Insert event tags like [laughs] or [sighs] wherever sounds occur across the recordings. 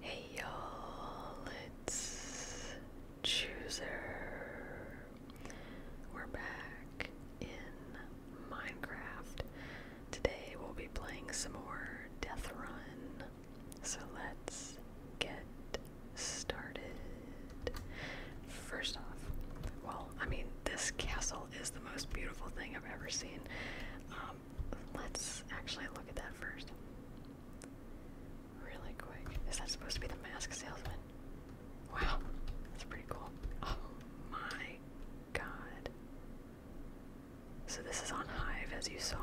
Hey y'all, it's Chooser. We're back in Minecraft. Today we'll be playing some more Death Run. So let's get started. First off, well, I mean, this castle is the most beautiful thing I've ever seen. Um, let's actually look at that first. Really quick. Is that supposed to be the mask salesman? Wow, that's pretty cool. Oh my god. So this is on Hive, as you saw.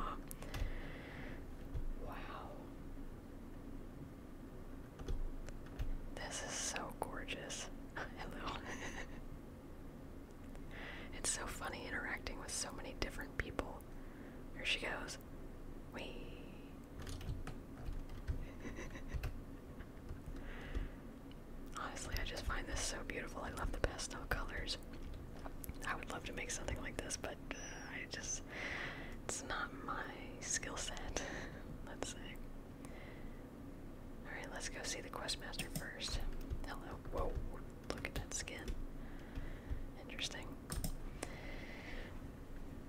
Wow. This is so gorgeous. Hello. [laughs] [laughs] It's so funny interacting with so many different people. Here she goes. Wee. Honestly, I just find this so beautiful. I love the pastel colors. I would love to make something like this, but uh, I just, it's not my skill set, [laughs] let's say. Alright, let's go see the quest master first. Hello. Whoa. Look at that skin. Interesting.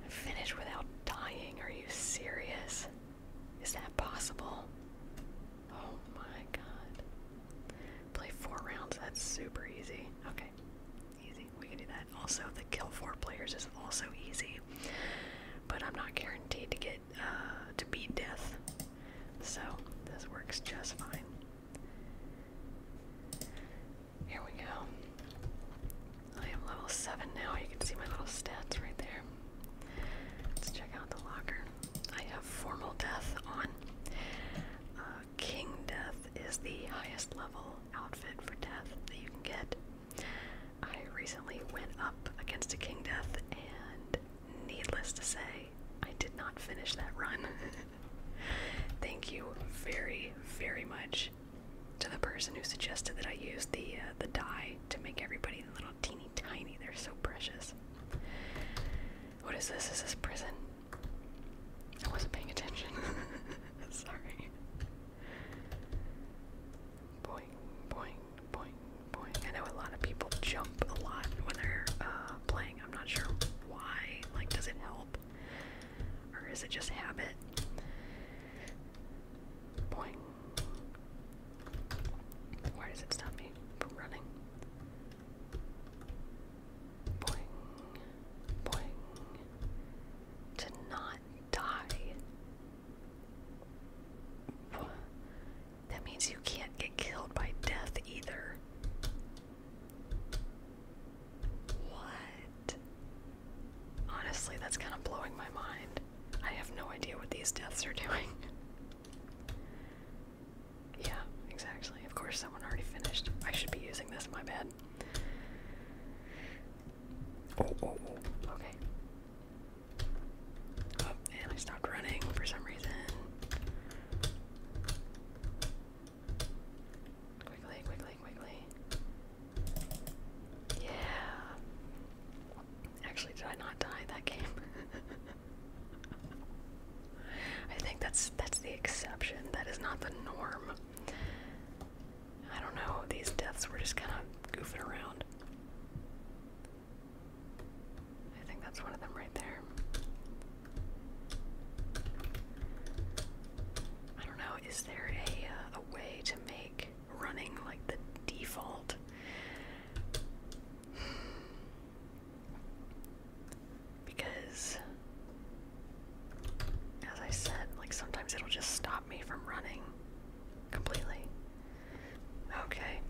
Finish without dying? Are you serious? Is that possible? Oh my god. Play four rounds, that's super easy. Okay, easy. We can do that. Also, the kill four players is also easy. But I'm not guaranteed to get uh, to beat death. So this works just fine. Here we go. I am level 7 now. You can see my little stats right there. Let's check out the locker. I have formal death on. Uh, King Death is the highest level outfit for death that you can get. I recently went up against a King Death and needless to say, I did not finish that run. [laughs] Thank you very, very much to the person who suggested that I use the uh, the dye to make everybody little teeny tiny. They're so precious. What is this? Is this prison? I wasn't paying attention. [laughs] Sorry. Boing, boing, boing, boing. I know a lot of people jump a lot when they're uh, playing. I'm not sure why. Like, does it help? Or is it just habit? Boing. Why does it stop me from running? Boing. Boing. To not die. That means you can't get killed by death either. What? Honestly, that's kind of blowing my mind. I have no idea what these deaths are doing. [laughs] yeah, exactly. Of course, someone already finished. I should be using this, my bad. Oh, oh, oh. Okay. Oh, and I stopped running for some reason. Quickly, quickly, quickly. Yeah. Actually, did I not die that game? [laughs] I think that's that's the exception. That is not the norm. I don't know. These deaths were just kind of goofing around. I think that's one of them right there. I don't know, is there a, uh, a way to make running like the default? because, as I said, like sometimes it'll just stop me from running completely. Okay.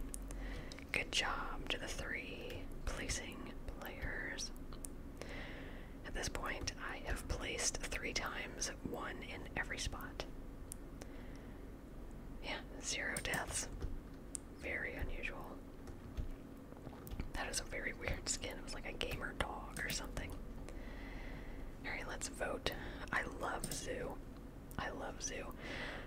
Good job to the three placing players. At this point, I have placed three times, one in every spot. Yeah, zero deaths. Very unusual. That is a very weird skin. It was like a gamer dog or something. Alright, let's vote. I love Zoo. I love Zoo.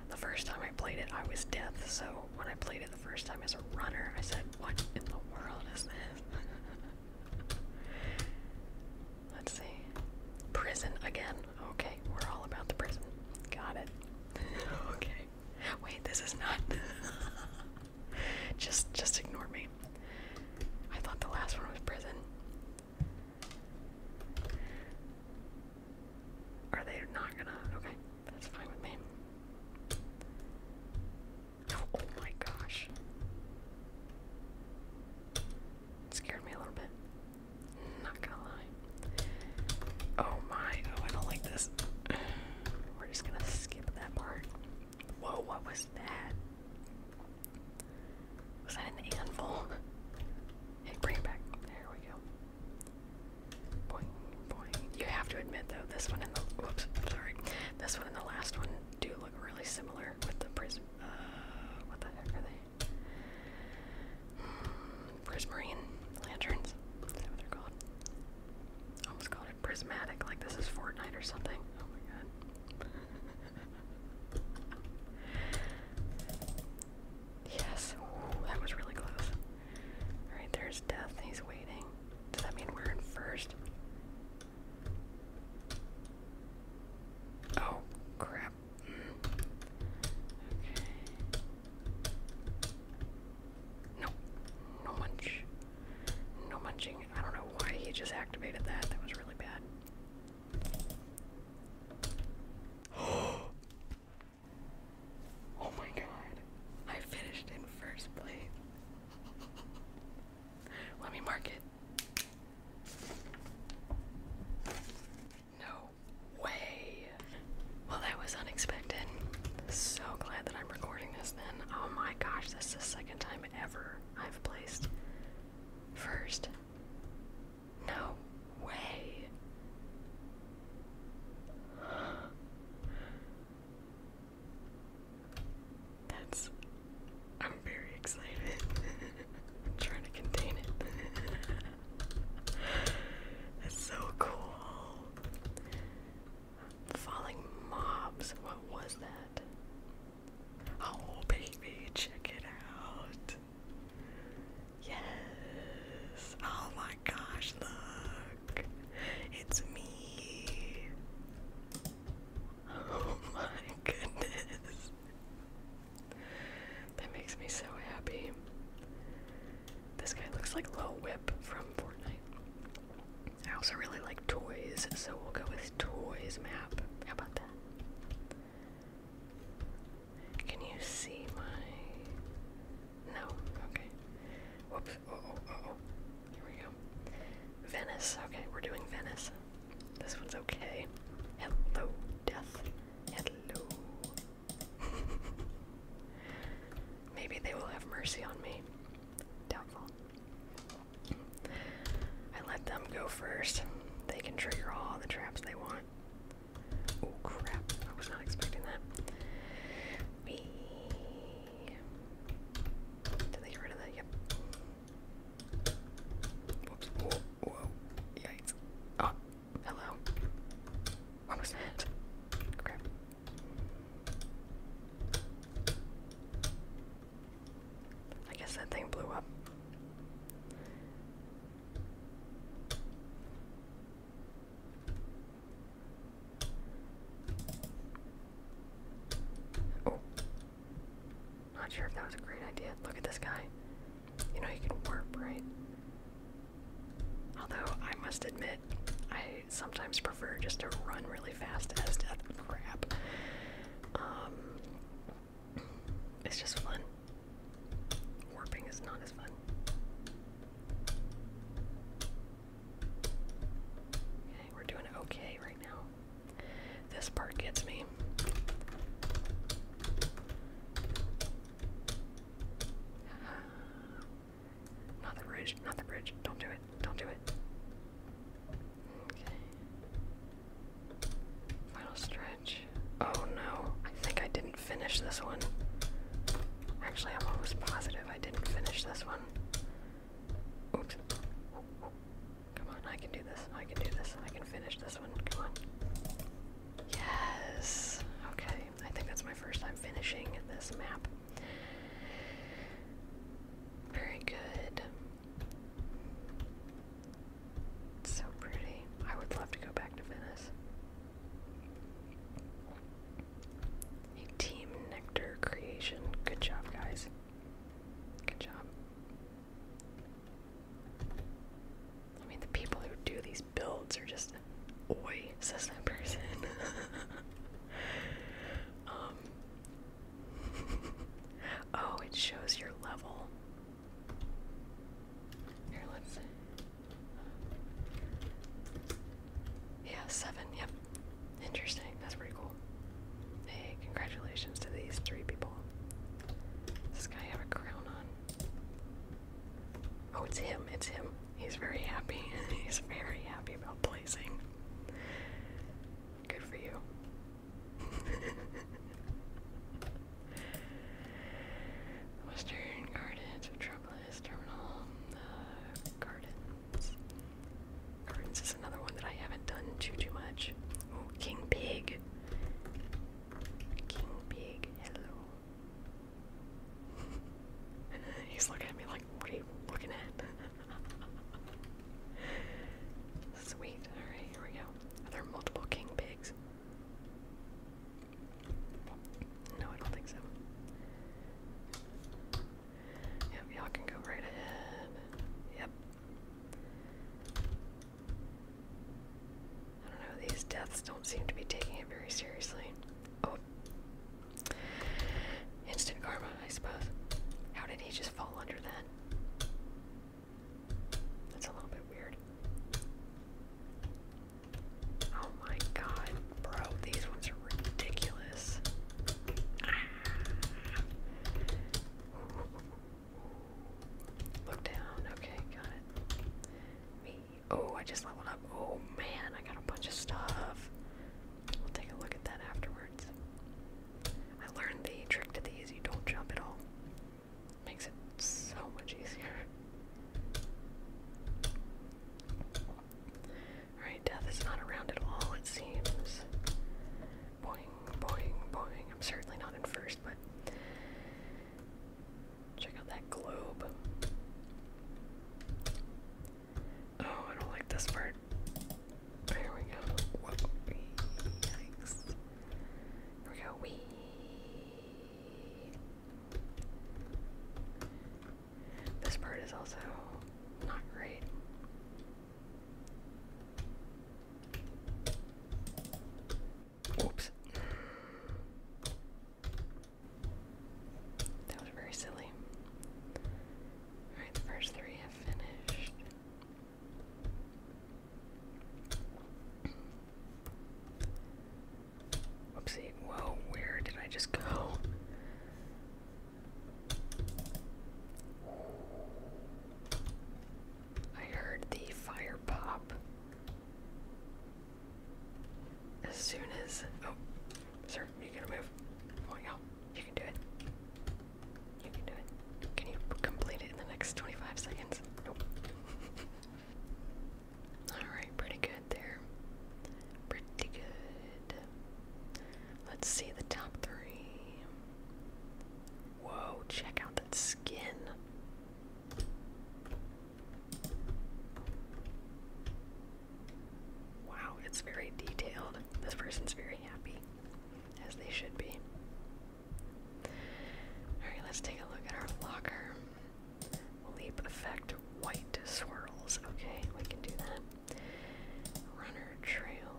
The first time I played it, I was death, so when I played it first time as a runner. I said, What in the world is this? [laughs] Let's see. Prison again. Okay, we're all about the prison. Got it. [laughs] okay. Wait, this is not. [laughs] just, just ignore me. I thought the last one was prison. Are they not gonna? Okay. That's fine with me. Oh my gosh. scared me a little bit. Not gonna lie. Oh my, oh, I don't like this. [sighs] We're just gonna skip that part. Whoa, what was that? Was that an anvil? Hey, bring it back. There we go. You have to admit though, this one and the whoops, sorry, this one and the last one do look really similar with the prism. Uh, what the heck are they? Hmm, prismarine lanterns. Is that what they're called? Almost called it prismatic, like this is Fortnite or something. Oh my god. [laughs] Yes, that was really close. Alright, there's death. He's waiting. Does that mean we're in first? Oh, crap. Mm. Okay. No. No munch. No munching. I don't know why he just activated that. That was really bad. [gasps] [gasps] Oh my god. I finished in first place. Let me mark it. No way. Well, that was unexpected. So glad that I'm recording this then. Oh my gosh, this is second time ever I've placed first. No way. That's. I'm very excited. [laughs] I'm trying to contain it. [laughs] That's so cool. Falling mobs. What was that? Oh, baby, check it out. Yes. Oh my gosh, look. It's me. [laughs] Oh my goodness. That makes me so happy. This guy looks like Lil Whip from Fortnite. I also really like toys, so we'll go with toys map. How about that? Can you see my no. Okay. Whoops. Uh oh. Uh oh. Here we go. Venice. Okay, we're doing Venice. This one's okay. Hello, death. Hello. [laughs] Maybe they will have mercy on me. Doubtful. I let them go first. They can trigger all the traps they want. Oh crap, I was not expecting that. Wee. Did they get rid of that? Yep. Whoa. Yikes. Oh. Hello. What was that? Crap. I guess that thing blew up. Oh. Not sure if that was a great idea. Look at this guy. You know, he can warp, right? Although, I must admit, I sometimes prefer just to run really fast as death crap. Um, it's just fun. Warping is not as fun. Okay, we're doing okay right now. This part gets me. [sighs] Not the bridge, not the bridge. Don't do it, don't do it. Okay. Final stretch. Oh no, I think I didn't finish this one. Actually, I'm almost positive I didn't finish this one. Come on, I can do this. I can do this. I can finish this one. Come on. Yes. Okay. I think that's my first time finishing this map. Very good. It's so pretty. I would love to go back to Venice. A Team Nectar creation. Good job, guys. Good job. I mean, the people who do these builds are just, oi, says person. [laughs] um. [laughs] oh, it shows your level. Here, let's. Yeah, seven. Yep, Interesting. That's pretty cool. Hey, congratulations to these three people. this guy have a crown on? Oh, it's him. It's him. He's very happy. [laughs] He's very happy about placing. Good for you. [laughs] Western Gardens of Terminal uh, Garden. Curtains. is another one that I haven't done too too much. Oh, King Pig. King Pig, hello. [laughs] He's looking at me like, what are you looking at? [laughs] Sweet. Alright, here we go. Are there multiple king pigs? No, I don't think so. Yep, y'all can go right ahead. Yep. I don't know, these deaths don't seem to be taking it very seriously. Oh. Instant karma, I suppose. How did he just fall under that? That's a little bit weird. Oh my god. Bro, these ones are ridiculous. Look down. Okay, got it. Me. Oh, I just leveled up. Oh man, I got a bunch of stuff. We'll take a look at that afterwards. I learned the trick to these. You don't jump at all. Makes it so much easier. Alright, death is not around at all, it seems. Boing, boing, boing. I'm certainly not in first, but check out that globe. Oh, I don't like this part. There we go. Whoa. Yikes. Here we go. Wee. This part is also not great. Oops. That was very silly. Alright, first three have finished. Whoopsie, whoa, where did I just go? I heard the fire pop as soon as. Oh, sir, you gonna move? Oh, yeah, you can do it. You can do it. Can you complete it in the next 25 seconds? [laughs] Alright, pretty good there. Pretty good. Let's see the top three. Whoa, check out that skin. Wow, it's very detailed. This person's very happy, as they should be. Alright, let's take a look at our locker. Leap effect white swirls. Okay, we can do that. Runner Trail.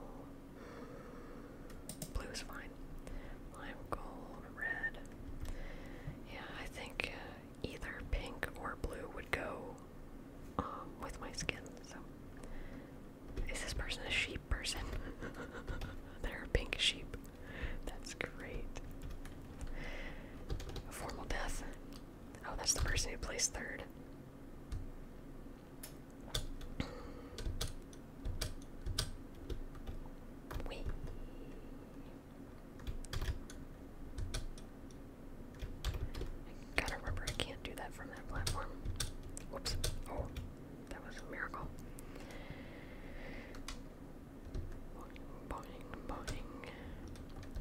Blue's fine. Lime gold, red. Yeah, I think uh, either pink or blue would go um, with my skin. So, is this person a sheep person? [laughs] They're a pink sheep. That's great. A formal death. Oh, that's the person who placed third. I gotta remember I can't do that from that platform. Whoops. Oh, that was a miracle. Boing, boing, boing.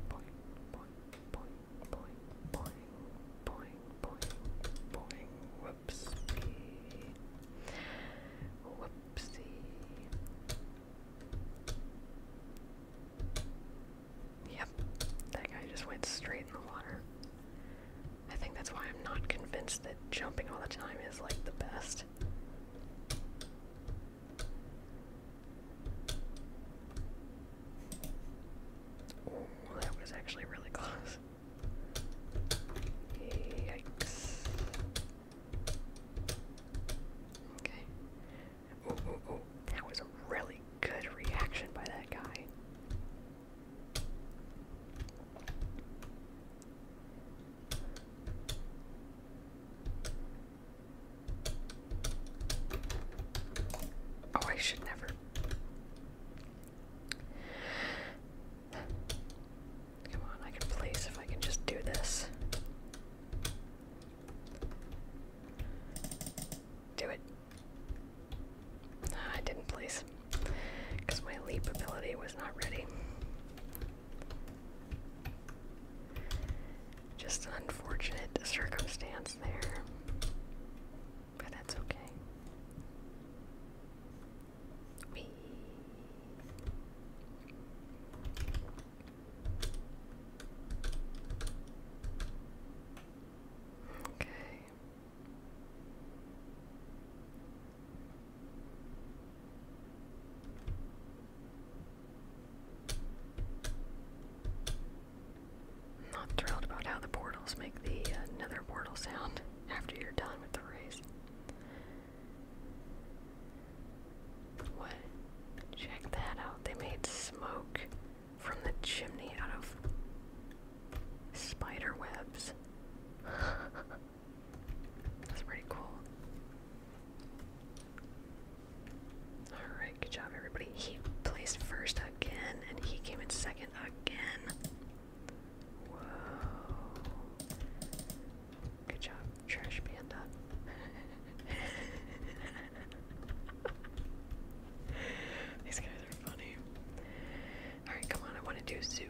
Boing, boing boing, boing, boing, boing, boing, boing, whoopsie, whoopsie. Yep, that guy just went straight in the water. I think that's why I'm not convinced that jumping all the time is like the best that was actually really close. Yikes. Okay. Ooh, ooh, ooh. That was a really good reaction by that guy. Oh, I should never. Come on, I can place if I can just do this. Do it. Ah, I didn't place because my leap ability was not ready. Just an unfortunate circumstance there. But that's okay. Okay. I'm not thrilled about how the portals make the uh, nether portal sound after you're done with the race. What? Check that out. They made smoke from the chimney out of spider webs. [laughs] That's pretty cool. Alright good job, everybody. He placed first again, and he came in second again. Whoa. Good job, Trash Panda. [laughs] These guys are funny. Alright, come on, I want to do zoo.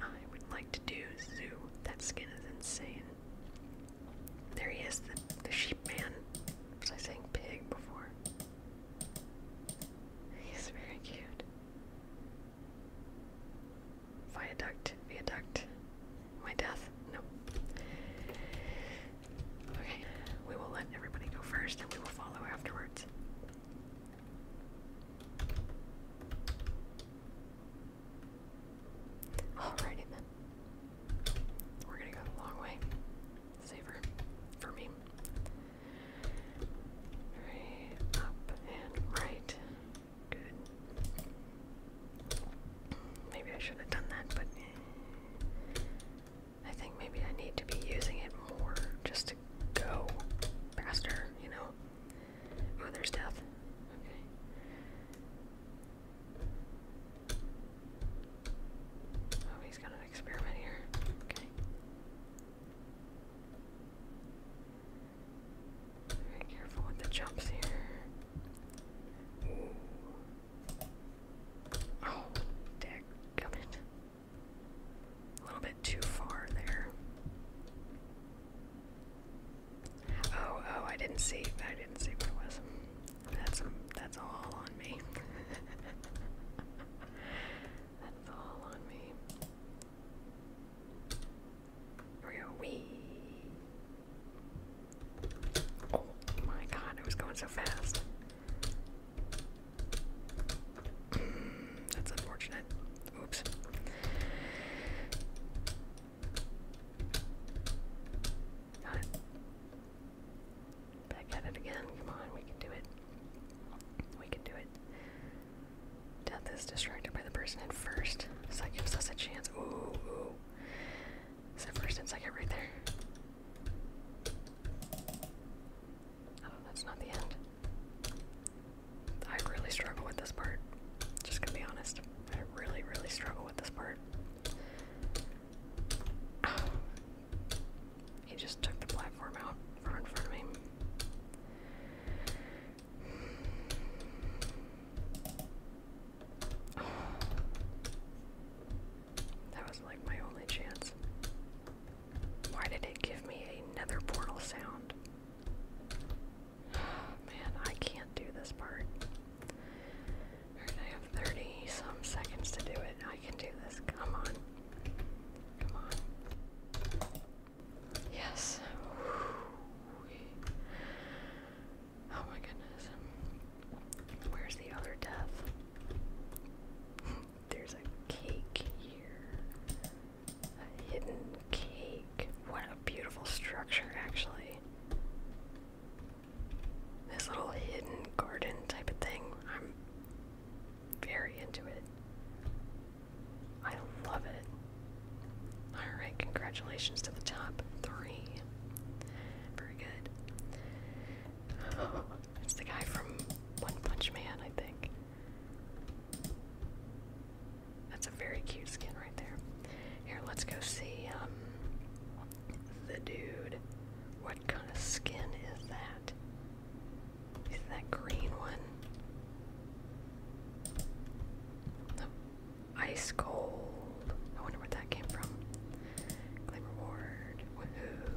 I would like to do zoo. That skin is insane. There he is, the sheep man. Was I saying pig before? He's very cute. Viaduct, viaduct. My death? No. Okay, we will let everybody go first and we will follow afterwards. Alrighty then. We're gonna go a long way. Safer for me. Right up and right. Good. Maybe I should have done that, but I think maybe I need to be using it more just to go faster, you know. Oh, there's death. Okay. Oh, he's gonna experiment here. Okay. Very careful with the jumps here. Oh, deck it. A little bit too far there. Oh, oh, I didn't see. I didn't see what it was. That's that's all on me. [laughs] that's all on me. Where are we? Oh my god, it was going so fast. [clears throat] that's unfortunate. Oops. Back at it again. Come on, we can do it. We can do it. Death is distracted by the person in first, so that gives us a chance. Ooh, ooh. Is that first and second right there? Oh, that's not the end. I really struggle with this part. Just gonna be honest. I really, really struggle with this part. [sighs] Oh, he just took the platform out from in front of me. [sighs] That was like my only chance. Why did it give me another portal sound? [sighs] Man, I can't do this part. I have 30 some seconds to do it. I can do this. Come on. Come on. Yes. Oh my goodness. Where's the other death? [laughs] There's a cake here. A hidden cake. What a beautiful structure, actually this little hidden garden type of thing. I'm very into it. I love it. Alright, congratulations to the top three. Very good. [laughs] it's the guy from One Punch Man, I think. That's a very cute skin right there. Here, let's go see um, the dude. What kind of skin is that? Is that green one? No. Ice cold. I wonder what that came from. Claim reward. Woohoo.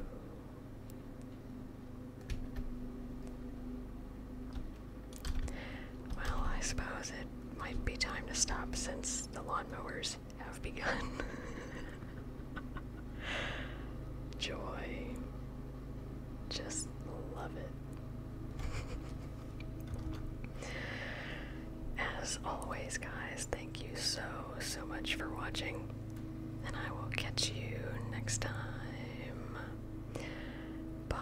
Well, I suppose it might be time to stop since the lawnmower's have begun. [laughs] Joy. Just love it. As always, guys, thank you so, so much for watching, and I will catch you next time. Bye.